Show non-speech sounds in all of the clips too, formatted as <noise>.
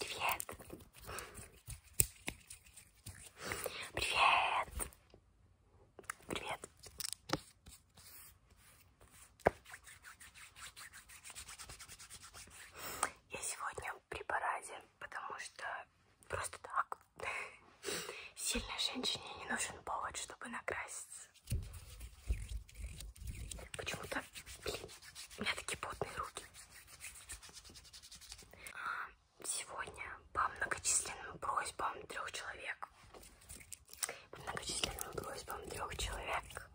Привет! Привет! Привет! Я сегодня в препарате, потому что просто так. Сильной женщине не нужен повод, чтобы накраситься. Почему-то, блин, у меня такие потные руки. А, сегодня по многочисленным просьбам трех человек. По многочисленным просьбам трех человек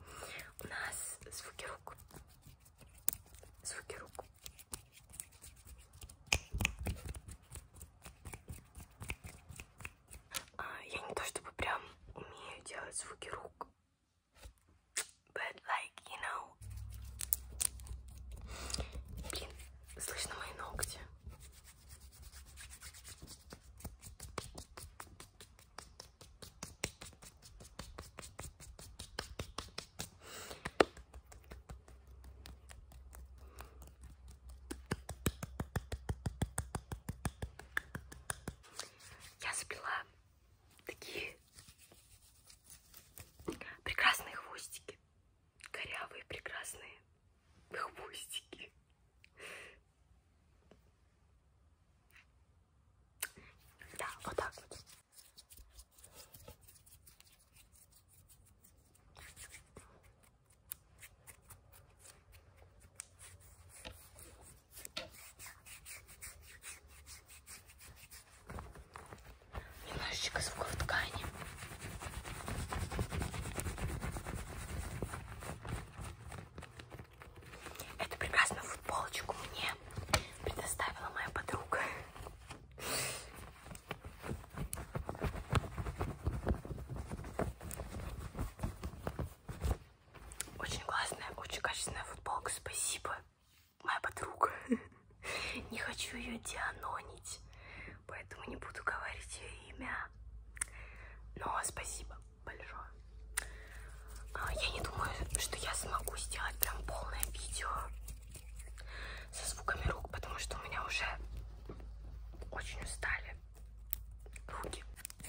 у нас звуки рук. Звуки рук. А, я не то чтобы прям умею делать звуки рук, But like, you know... Блин, слышно мои ногти я сплела такие прекрасные хвостики. Корявые, прекрасные хвостики. Да, вот так вот. Немножечко звуков ткани. Эту прекрасную футболочку мне предоставила моя подруга. Очень классная, очень качественная футболка, спасибо, моя подруга. <laughs> Не хочу ее дианонить, поэтому не буду говорить ее имя. Но спасибо большое. А, я не думаю, что я смогу сделать прям полное видео со звуками рук, потому что у меня уже очень устали руки.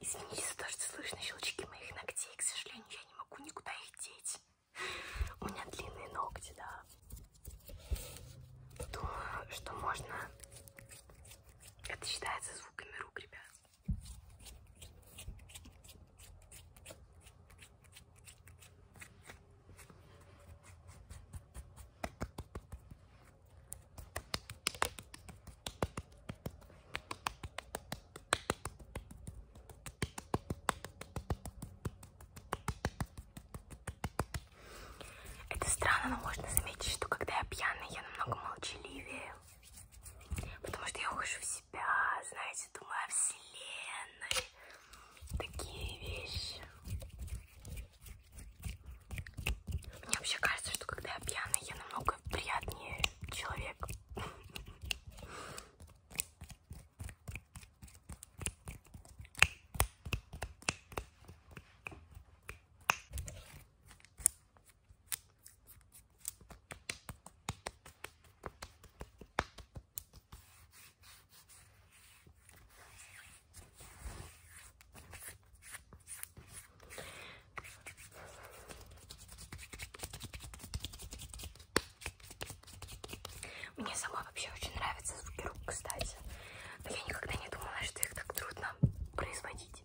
Извините за то, что слышно щелчки моих ногтей. К сожалению, я не могу никуда их деть. У меня длинные ногти, да. Думаю, что можно... Это считается звуками рук, ребят. Это странно, но можно заметить, что когда я пьяная, я намного молчаливее. Потому что я ухожу в себя, знаете, думаю о вселенной. Такие вещи. Мне вообще кажется, что когда я пьяная, я намного приятнее человек. Мне сама вообще очень нравятся звуки рук, кстати. Но я никогда не думала, что их так трудно производить.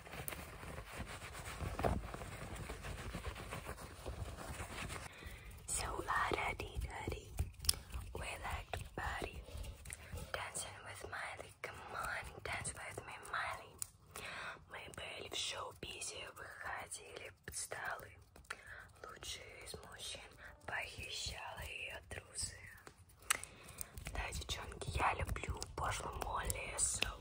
So Lada daddy, with that body, dancing with Miley. Come on, dance with me, Miley. Мы были в шоу-бизе, выходили под столы. Лучшие из мужчин похищала ее трусы. Да, девчонки, я люблю пошлую Молли, so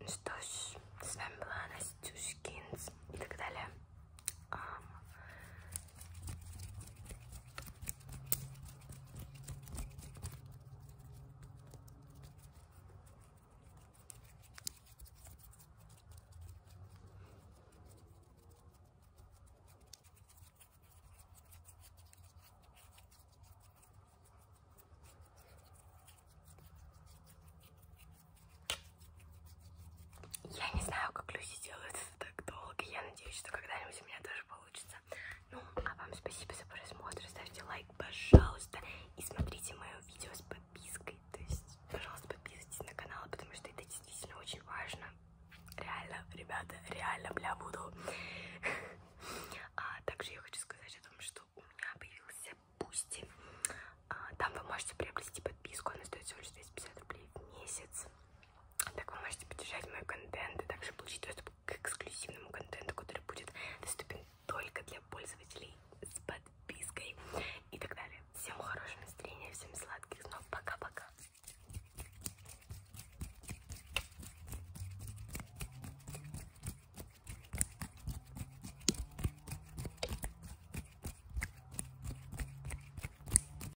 Ну что ж, с вами была Настюшкинс и так далее. А, я не знаю, как люди делают так долго. Я надеюсь, что когда-нибудь у меня тоже получится. Ну, а вам спасибо за просмотр. Ставьте лайк, пожалуйста. И смотрите мое видео с подпиской. То есть, пожалуйста, подписывайтесь на канал, потому что это действительно очень важно. Реально, ребята, реально, бля, буду. А также я хочу сказать о том, что у меня появился Бусти. А, там вы можете приобрести подписку, она стоит всего лишь 250 рублей в месяц. Так вы можете поддержать мой контент и также получить доступ к эксклюзивному контенту, который будет доступен только для пользователей с подпиской и так далее. Всем хорошего настроения, всем сладких снов. Пока-пока.